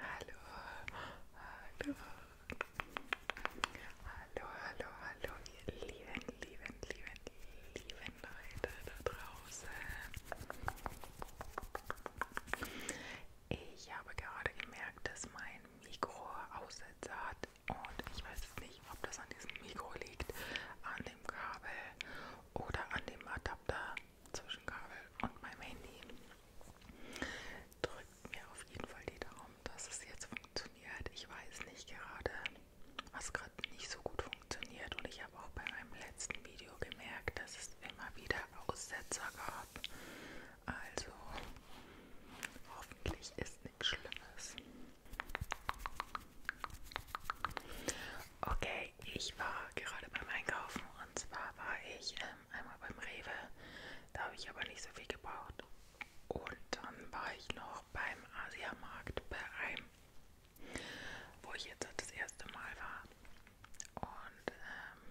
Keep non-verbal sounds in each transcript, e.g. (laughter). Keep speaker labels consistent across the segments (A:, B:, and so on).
A: Hallo, hallo, hallo, hallo, hallo, ihr lieben, lieben, lieben, lieben Leute da draußen. Ich habe gerade gemerkt, dass mein Mikro Aussetzer hat und ich weiß es nicht, ob das an diesem Mikro liegt, an dem Kabel oder an dem Adapter zwischen Kabel und meinem Handy. Drückt mir auf jeden Fall die Daumen, dass es jetzt funktioniert. Ich weiß nicht gerade, was gerade nicht so gut funktioniert. Und ich habe auch bei meinem letzten Video gemerkt, dass es immer wieder Aussetzer gab. Also hoffentlich ist nichts Schlimmes. Okay, ich war gerade beim Einkaufen und zwar war ich im ähm, einmal beim Rewe, da habe ich aber nicht so viel gebraucht. Und dann war ich noch beim Asiamarkt bei einem, wo ich jetzt das erste Mal war. Und ähm,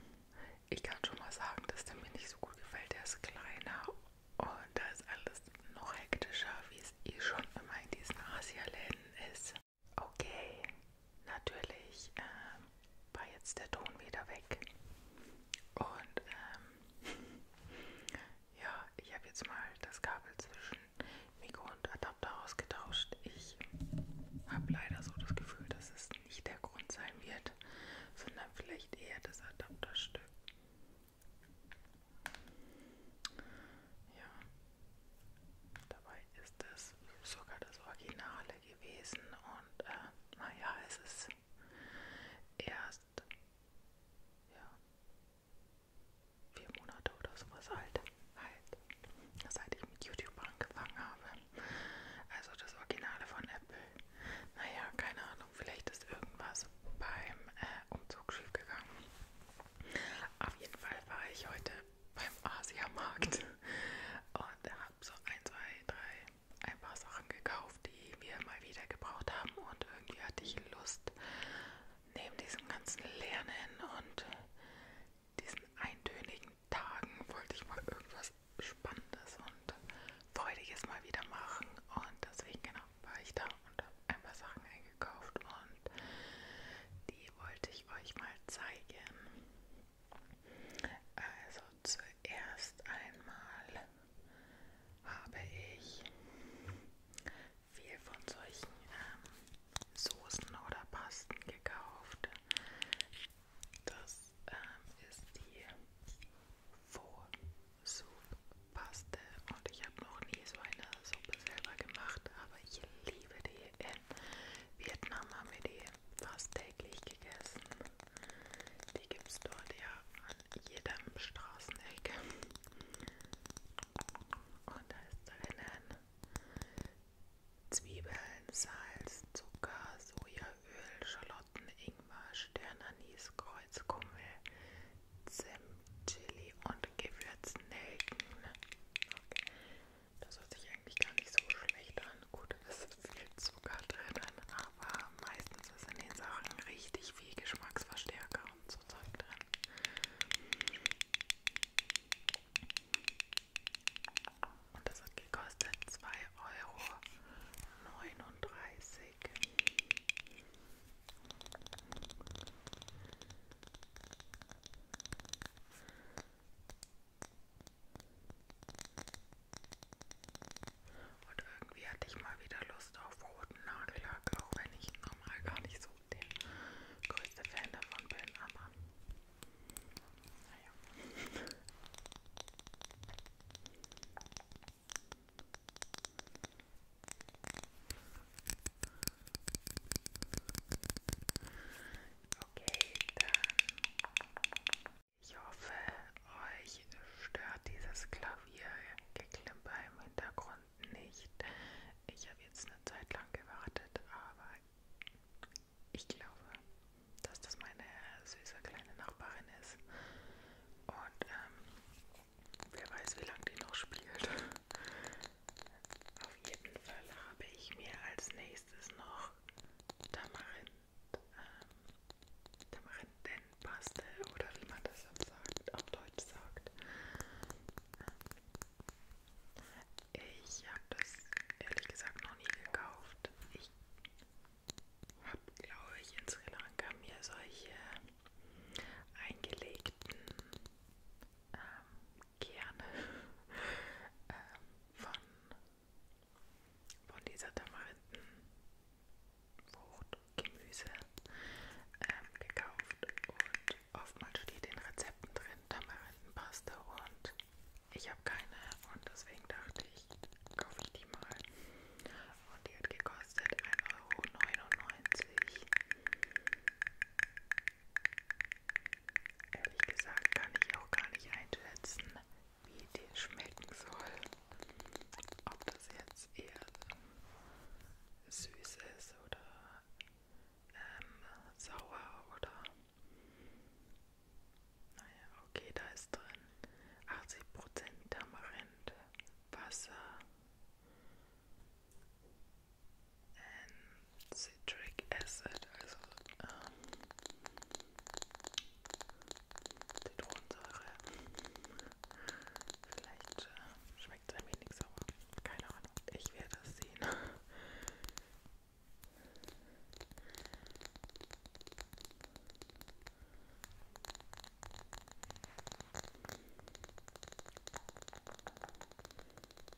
A: ich kann schon mal sagen, dass der mir nicht so gut gefällt. Der ist kleiner und da ist alles noch hektischer, wie es eh schon immer in diesen Asialäden ist. Okay, natürlich ähm, war jetzt der Ton wieder weg. Und ähm, ja, ich habe jetzt mal das Kabel zwischen Mikro und Adapter ausgetauscht. Ich habe leider so das Gefühl, dass es nicht der Grund sein wird, sondern vielleicht eher das Adapterstück. Ja, dabei ist das sogar das Originale gewesen und äh, naja, es ist erst ja, vier Monate oder sowas alt, halt, seit ich mit YouTube angefangen habe. Also das Originale von Apple. Naja, keine Ahnung, vielleicht ist irgendwas beim äh, Umzug schief gegangen. Auf jeden Fall war ich heute beim Asiamarkt und habe so ein, zwei, drei, ein paar Sachen gekauft, die wir mal wieder gebraucht haben und irgendwie hatte ich Lust, neben diesem ganzen Lernen und diesen eintönigen Tagen wollte ich mal irgendwas Spannendes und Freudiges mal wieder machen und deswegen genau war ich da und habe ein paar Sachen eingekauft und die wollte ich euch mal zeigen. Also zuerst einmal habe ich viel von solchen ähm, Soßen oder Pasten gekauft. Das ähm, ist die Faux-Soup-Paste und ich habe noch nie so eine Suppe selber gemacht, aber ich liebe die in Vietnam haben wir die fast täglich gegessen. Die gibt es dort ja an jedem Straßeneck. Und da ist drinnen Zwiebeln, Salz, Zucker, Sojaöl, Schalotten, Ingwer, Sternanis, Kreuzkummel, Zimt, Chili und Gewürznelken. Okay. Das hört sich eigentlich gar nicht so schlecht an. Gut, es ist viel Zucker drin, aber meistens ist in den Sachen richtig viel Geschmacksverstärker und so Zeug drin. Und das hat gekostet 2,39 Euro. Und irgendwie hatte ich mal wieder Lust auf roten Nagellack, auch wenn ich normal gar nicht so der größte Fan davon bin, aber naja. Okay, dann. Ich hoffe, euch stört dieses Klaviergeklimper im Hintergrund nicht. Ich habe jetzt eine Zeit lang gewartet, aber ich glaube, dass das meine süße kleine Nachbarin ist. Und ähm, wer weiß, wie lange die noch spielt. Auf jeden Fall habe ich mir als nächstes noch Tamarind, ähm, Tamarindenpaste oder wie man das auf, sagt, auf Deutsch sagt. Ich habe das ehrlich gesagt noch nie gekauft. Ich habe, glaube ich, in Sri Lanka mir solche eingelegten ähm, gerne ähm, von, von dieser Tamarindenfrucht, Gemüse ähm, gekauft und oftmals steht in Rezepten drin Tamarindenpaste und ich habe keine und deswegen dachte ich, kaufe ich die mal. Und die hat gekostet 1,99 Euro. Ehrlich gesagt kann ich auch gar nicht einschätzen, wie der schmecken soll. Ob das jetzt eher ähm, süß ist oder ähm, sauer oder... Naja, okay, da ist drin 80% Tamarind, Wasser, and citric acid, also ähm, Zitronensäure. Vielleicht äh, schmeckt es ein wenig sauer. Keine Ahnung, ich werde es sehen.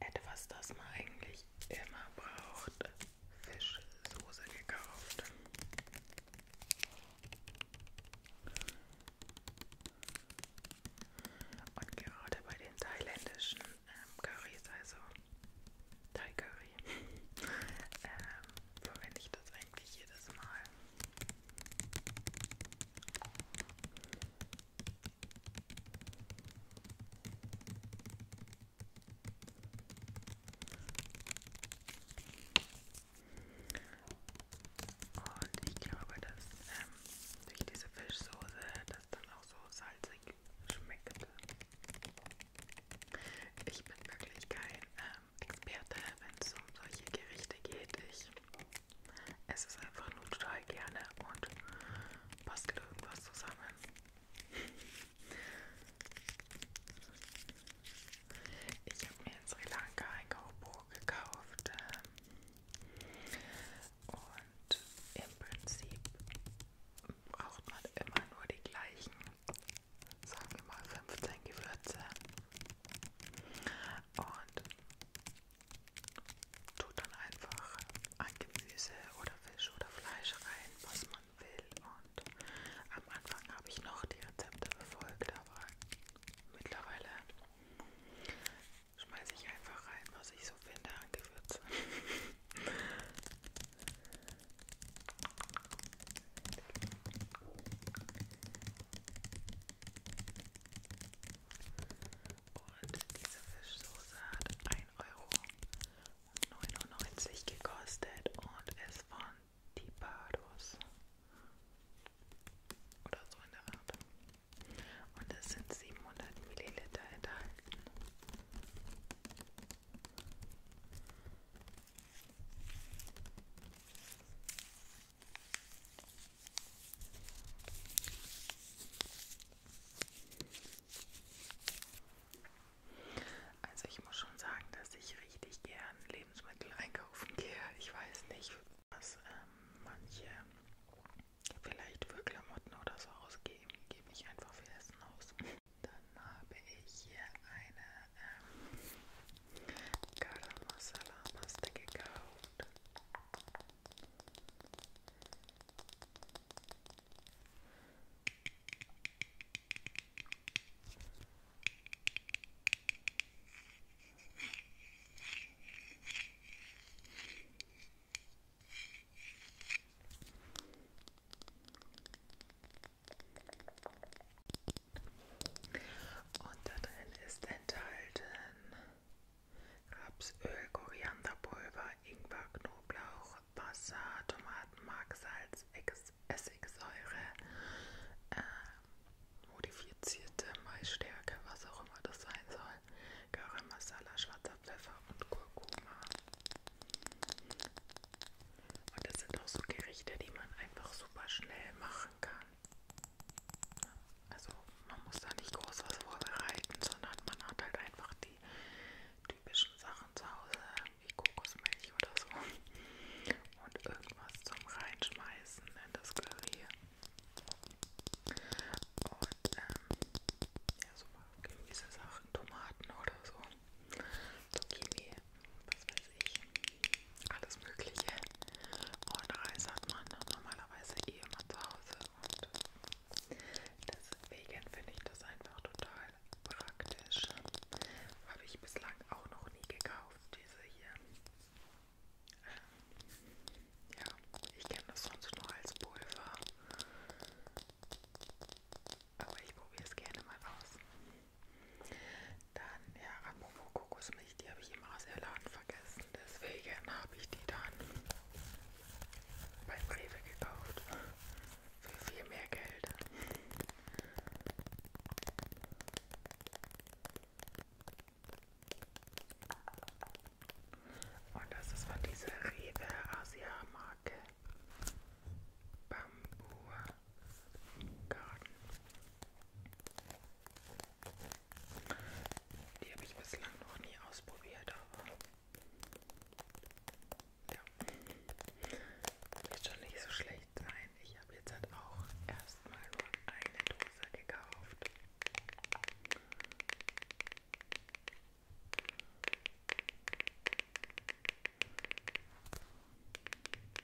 A: Etwas, das man eigentlich immer braucht. Fischsoße gekauft. Und gerade bei den thailändischen ähm, Currys, also Thai Curry, (laughs) ähm, verwende ich das eigentlich jedes Mal. Und ich glaube, dass ähm, durch diese Fischsoße das dann auch so salzig schmeckt. Ich bin wirklich kein ähm, Experte, wenn es um solche Gerichte geht. Ich es ist einfach nur total gerne und bastelt irgendwas zusammen. Ich habe mir in Sri Lanka ein Kaubo gekauft ähm, und im Prinzip braucht man immer nur die gleichen, sagen wir mal 15 Gewürze und Tut dann einfach ein Gemüse oder Fisch oder Fleisch rein, was man will. Und am Anfang habe ich noch die Rezepte befolgt, aber mittlerweile schmeiße ich einfach rein, was ich so finde an Gewürzen. Und diese Fischsoße hat 1,99 Euro gekostet und ist von Tipados. Oder so in der Art. Und es sind 700 Milliliter enthalten. Also ich muss schon sagen, dass ich richtig gern Lebensmittel einkaufen gehe. Ich weiß nicht, was ähm, manche vielleicht für Klamotten oder so ausgeben, gebe ich einfach für Essen aus. Dann habe ich hier eine ähm, Garam Masala Paste gekauft. Und da drin ist enthalten Rapsöl, Korianderpulver, Ingwer, Knoblauch, Wasser, Tomatenmark, Salz, Essigsäure, äh, modifizierte Maisstärke, was auch immer das sein soll, Garam Masala, schwarzer Pfeffer und Kurkuma. Und das sind auch so Gerichte, die man einfach super schnell machen kann. Also man muss da nicht groß was vorbereiten, sondern man hat halt einfach die typischen Sachen zu Hause, wie Kokosmilch oder so. Und irgendwas zum Reinschmeißen in das Curry. Und ähm, ja, so mal gewisse Sachen, Tomaten oder so. Zucchini, was weiß ich alles Mögliche. Und Reis hat man normalerweise eh immer zu Hause. Und deswegen finde ich das einfach total praktisch. Habe ich bislang auch noch nie gekauft, diese hier. Ja, ich kenne das sonst nur als Pulver. Aber ich probiere es gerne mal aus. Dann, ja, apropos Kokosmilch, die habe ich im Asialaden vergessen. Deswegen habe ich die dann beim Rewe gekauft. Für viel mehr Geld. Und das ist von dieser Rewe Asia Marke. Bambur Garden. Die habe ich bislang noch nie ausprobiert, aber ja, wird schon nicht so schlecht sein. Ich habe jetzt halt auch erstmal nur eine Dose gekauft.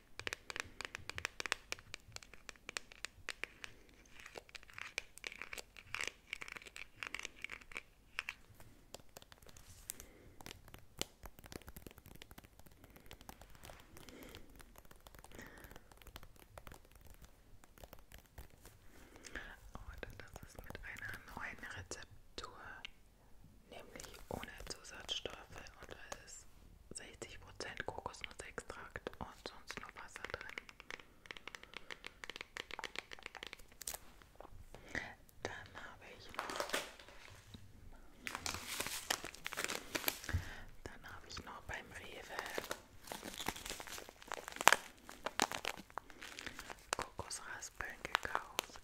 A: Und oh, das ist mit einer neuen Rezeptur, nämlich ohne Zusatzstoffe und es 60% Kokosnussextrakt und sonst nur Wasser drin. Dann habe ich noch, dann habe ich noch beim Rewe Kokosraspeln gekauft,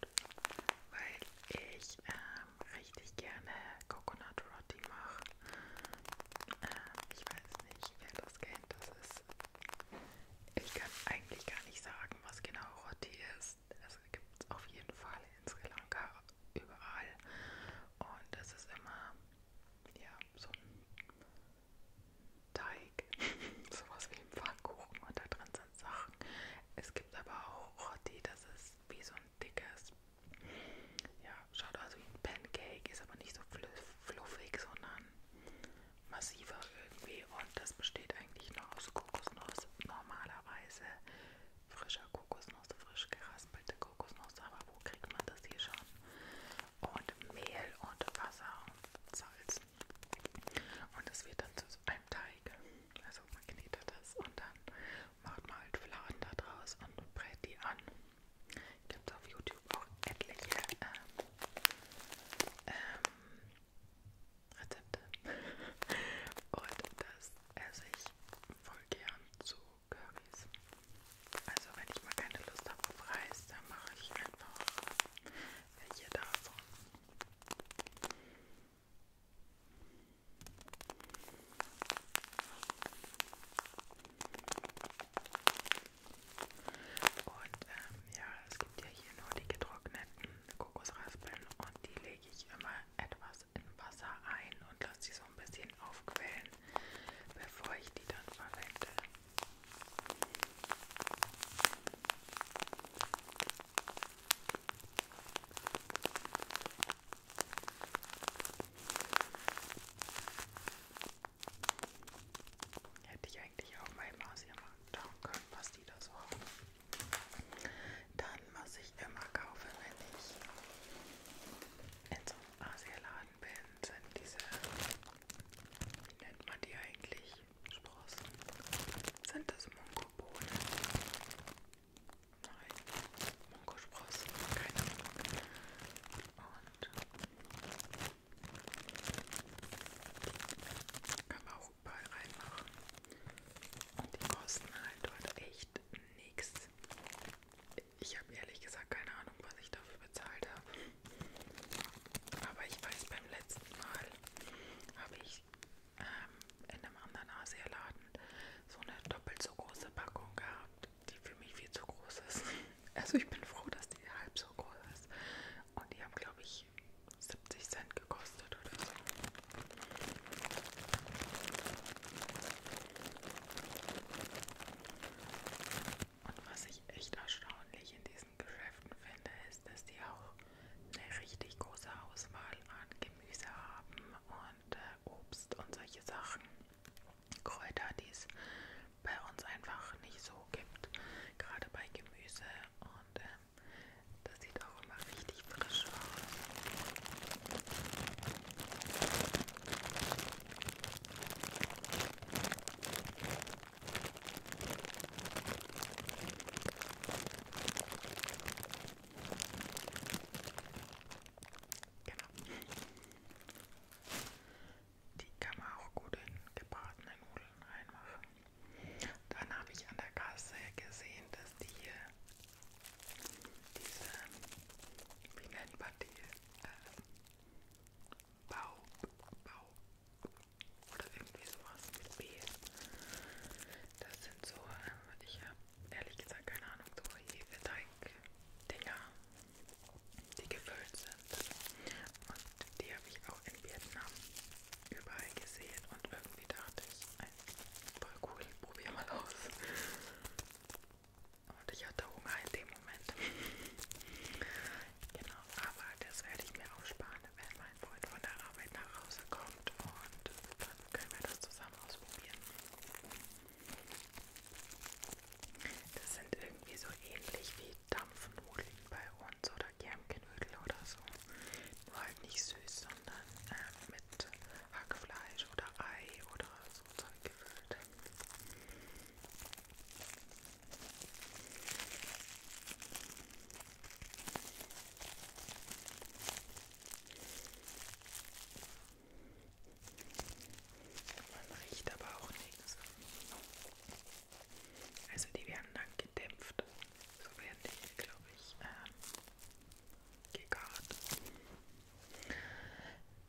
A: weil ich äh, ähm, richtig gerne Coconut Roti mache. Ähm, ich weiß nicht, wer das kennt. Das ist. Ich kann eigentlich gar nicht sagen, was genau Roti ist. Es gibt es auf jeden Fall in Sri Lanka überall. Und es ist immer ja, so ein Teig, (laughs) sowas wie ein Pfannkuchen und da drin sind Sachen. Es gibt aber auch Roti, das ist wie so ein dickes ja, schaut aus also, wie ein Pancake, ist aber nicht so fluffig, sondern massiver irgendwie. Und das besteht eigentlich nur aus Kokosnuss, normalerweise frischer Kokosnuss, frisch geraspelte Kokosnuss. Aber wo kriegt man das hier schon? Und Mehl und Wasser und Salz. Und das wird dann zu einem Teig. Also man knetet das und dann macht mal halt Fladen da draus und brät die an. Gibt auf YouTube auch etliche ähm, ähm, Rezepte. (laughs) und das esse ich voll gern zu Currys. Also wenn ich mal keine Lust habe auf Reis, dann mache ich einfach welche davon. Und ähm, ja, es gibt ja hier nur die getrockneten Kokosraspeln und die lege ich immer etwas in Wasser ein und lasse die so ein bisschen aufquellen, bevor ich die dann verwende. Hätte ich eigentlich auch mal im Haus hier mal schauen können, was die da so haben. Dann, was ich immer kaufe, wenn ich in so einem Asialaden bin, sind diese, wie nennt man die eigentlich, Sprossen? Sind das Mungobohnen? Nein, Mongospross, keine Ahnung. Und kann man auch überall reinmachen. Und die kosten halt dort echt nichts. Ich habe ehrlich gesagt keine Ahnung, was ich dafür bezahlt habe. Aber ich weiß, beim letzten Mal habe ich ähm, in einem anderen Asialaden so eine doppelt so große Packung gehabt, die für mich viel zu groß ist. (laughs) Also ich bin froh, dass die halb so groß ist. Und die haben, glaube ich, 70 Cent gekostet oder so. Und was ich echt erstaunlich in diesen Geschäften finde, ist, dass die auch eine richtig große Auswahl an Gemüse haben und äh, Obst und solche Sachen. Kräuter, die es bei uns einfach nicht so gibt. Gerade bei Gemüse und äh, das sieht auch immer richtig frisch aus. Genau. Die kann man auch gut in gebratene Nudeln reinmachen. Dann habe ich an der Kasse gesehen, dass die hier diese, wie nennt man die, äh, Bau, Bau oder irgendwie sowas mit B. Das sind so, äh, ich habe ehrlich gesagt keine Ahnung, so Hefeteig-Dinger, halt die gefüllt sind. Und die habe ich auch in Vietnam überall gesehen und irgendwie dachte ich, voll cool, probier mal aus. Und ich hatte Hunger in dem Moment. (laughs) genau, aber das werde ich mir auch sparen, wenn mein Freund von der Arbeit nach Hause kommt und dann können wir das zusammen mal ausprobieren. Das sind irgendwie so ähnlich wie Dampfnudeln bei uns oder Germknödel oder so. Nur halt nicht süß, sondern äh, mit Hackfleisch oder Ei oder so Zeug gefüllt. Man riecht aber auch nichts. Also die werden dann gedämpft. So werden die, glaube ich, äh, gegart.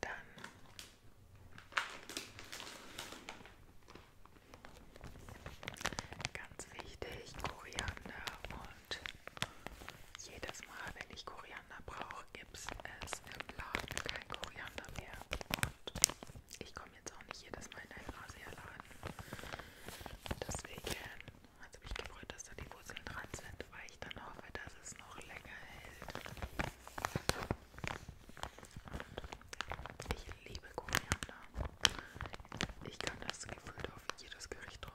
A: Dann ganz wichtig, Koriander und jedes Mal, wenn ich Koriander brauche, gibt es im Laden kein Koriander mehr. Und ich komme jetzt auch nicht jedes Mal in einen Asialaden. Deswegen also habe ich gefreut, dass da die Wurzeln dran sind, weil ich dann hoffe, dass es noch länger hält. Und ich liebe Koriander. Ich kann das gefühlt auf jedes Gericht drauf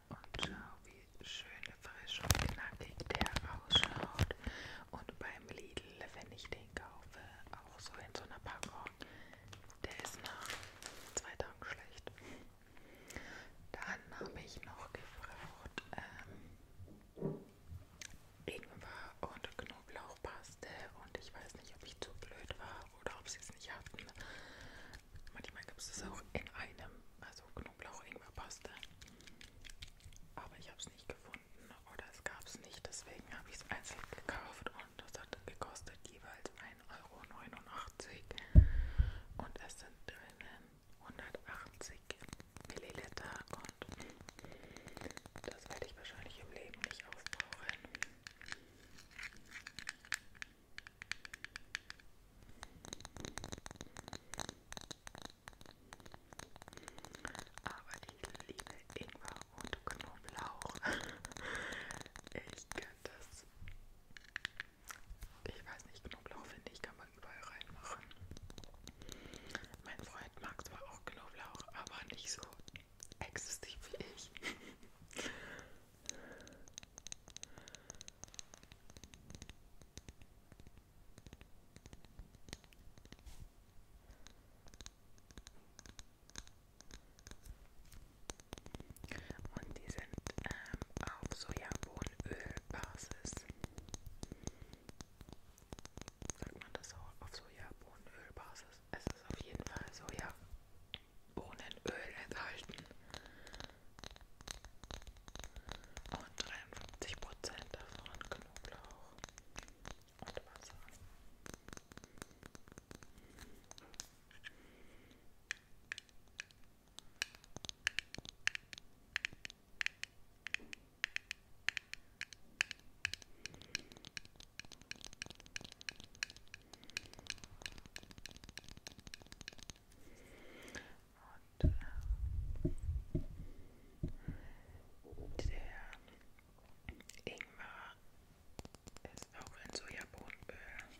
A: Und schau, wie schön frisch und knackig der ausschaut. Und beim Lidl, wenn ich den kaufe, auch so in so einer Packung, der ist nach zwei Tagen schlecht. Dann habe ich noch gefragt, ähm, Ingwer und Knoblauchpaste und ich weiß nicht, ob ich zu blöd war oder ob sie es nicht hatten. Manchmal gibt es das auch in einem, also Knoblauch-Ingwer-Paste. Aber ich habe es nicht gefunden oder es gab es nicht. Deswegen habe ich es einzeln gekauft und das hat gekostet jeweils 1,89 Euro. Und es sind drinnen 180 Milliliter und das werde ich wahrscheinlich im Leben nicht aufbrauchen. Aber ich liebe Ingwer und Knoblauch. (laughs) ich kann das. Ich weiß nicht, Knoblauch finde ich, kann man überall reinmachen. Mein Freund mag zwar auch Knoblauch, aber nicht so exzessiv wie ich. (laughs) Und die sind ähm, auf Sojabohnenölbasis. Sagt man das auch auf Sojabohnenölbasis? Es ist auf jeden Fall Sojabohnenöl enthalten. Und 53% davon Knoblauch und Wasser. Und äh, der Ingwer ist auch in Sojabohnenöl.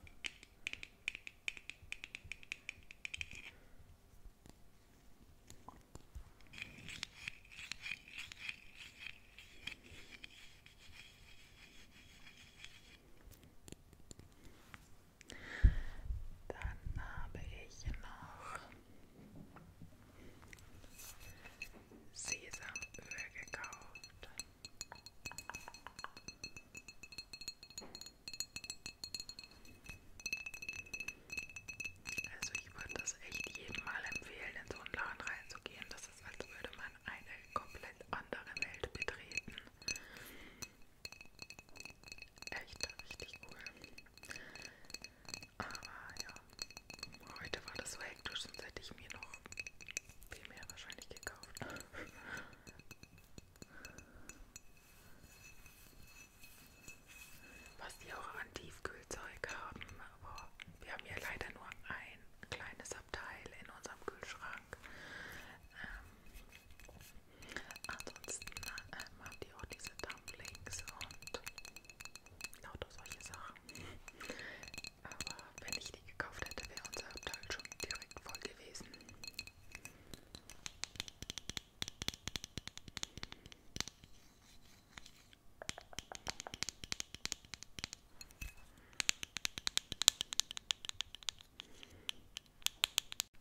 A: Dann habe ich noch Sesamöl gekauft. Also ich würde das echt jedem mal empfehlen, in so einen Laden reinzugehen. Das ist, als würde man eine komplett andere Welt betreten. Echt richtig cool. Aber ja, heute war das so hektisch, sonst hätte ich mir noch viel mehr wahrscheinlich gekauft. Was die auch an Tiefkühlzeug haben, aber wir haben hier leider nur ein kleines Abteil in unserem Kühlschrank. Ähm, ansonsten ähm, haben die auch diese Dumplings und lauter solche Sachen. Aber wenn ich die gekauft hätte, wäre unser Abteil schon direkt voll gewesen.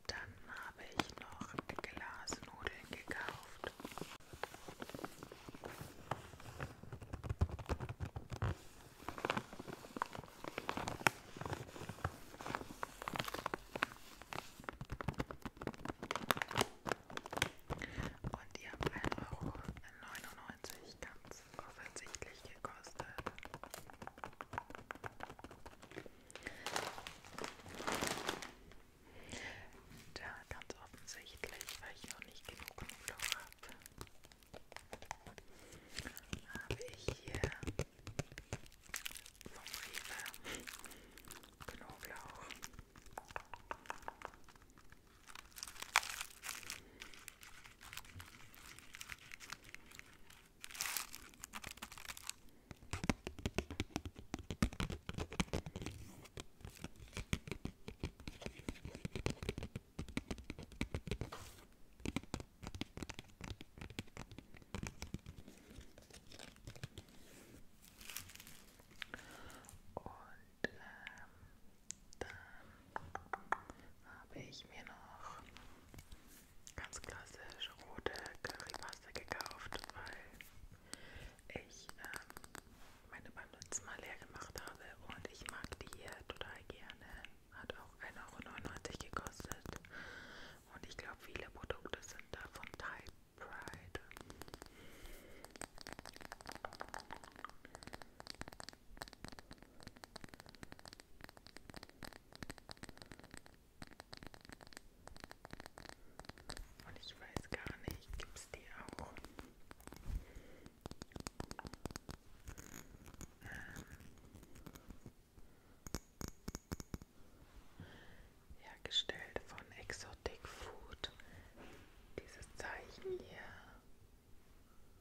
A: Dann habe ich noch Glasnudeln gekauft. Und die haben 1,99 Euro kam uns offensichtlich gekostet. Da ganz offensichtlich, weil ich noch nicht genug Knoblauch habe, habe ich hier vom Rewe Knoblauch. Und ähm, dann habe ich mir noch ganz klassisch rote Currypaste gekauft, weil ich ähm, meine beim letzten Mal leer gemacht habe und ich mag die hier total gerne. Hat auch 1,99 Euro gekostet und ich glaube viele Produkte sind da von Thai Pride. Und ich weiß gar nicht, gibt es die auch? Ähm, hergestellt von Exotic Food. Dieses Zeichen hier.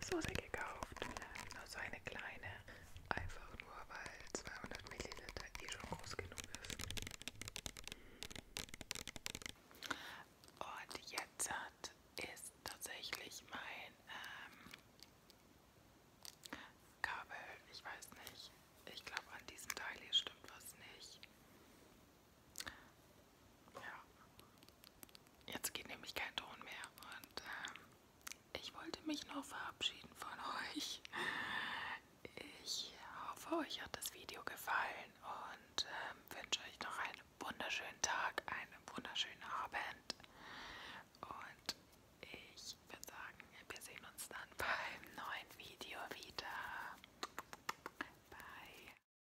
A: Soße gekauft. Nur so eine kleine. Einfach nur, weil 200 Milliliter eh schon groß genug ist. Und jetzt hat, ist tatsächlich mein ähm, Kabel, ich weiß nicht, ich glaube an diesem Teil hier stimmt was nicht. Ja. Jetzt geht nämlich kein Ton mehr und ähm, ich wollte mich noch verabschieden von euch. Ich hoffe, euch hat das Video gefallen und ähm, wünsche euch noch einen wunderschönen Tag, einen wunderschönen Abend. Und ich würde sagen, wir sehen uns dann (laughs) beim neuen Video wieder. Bye.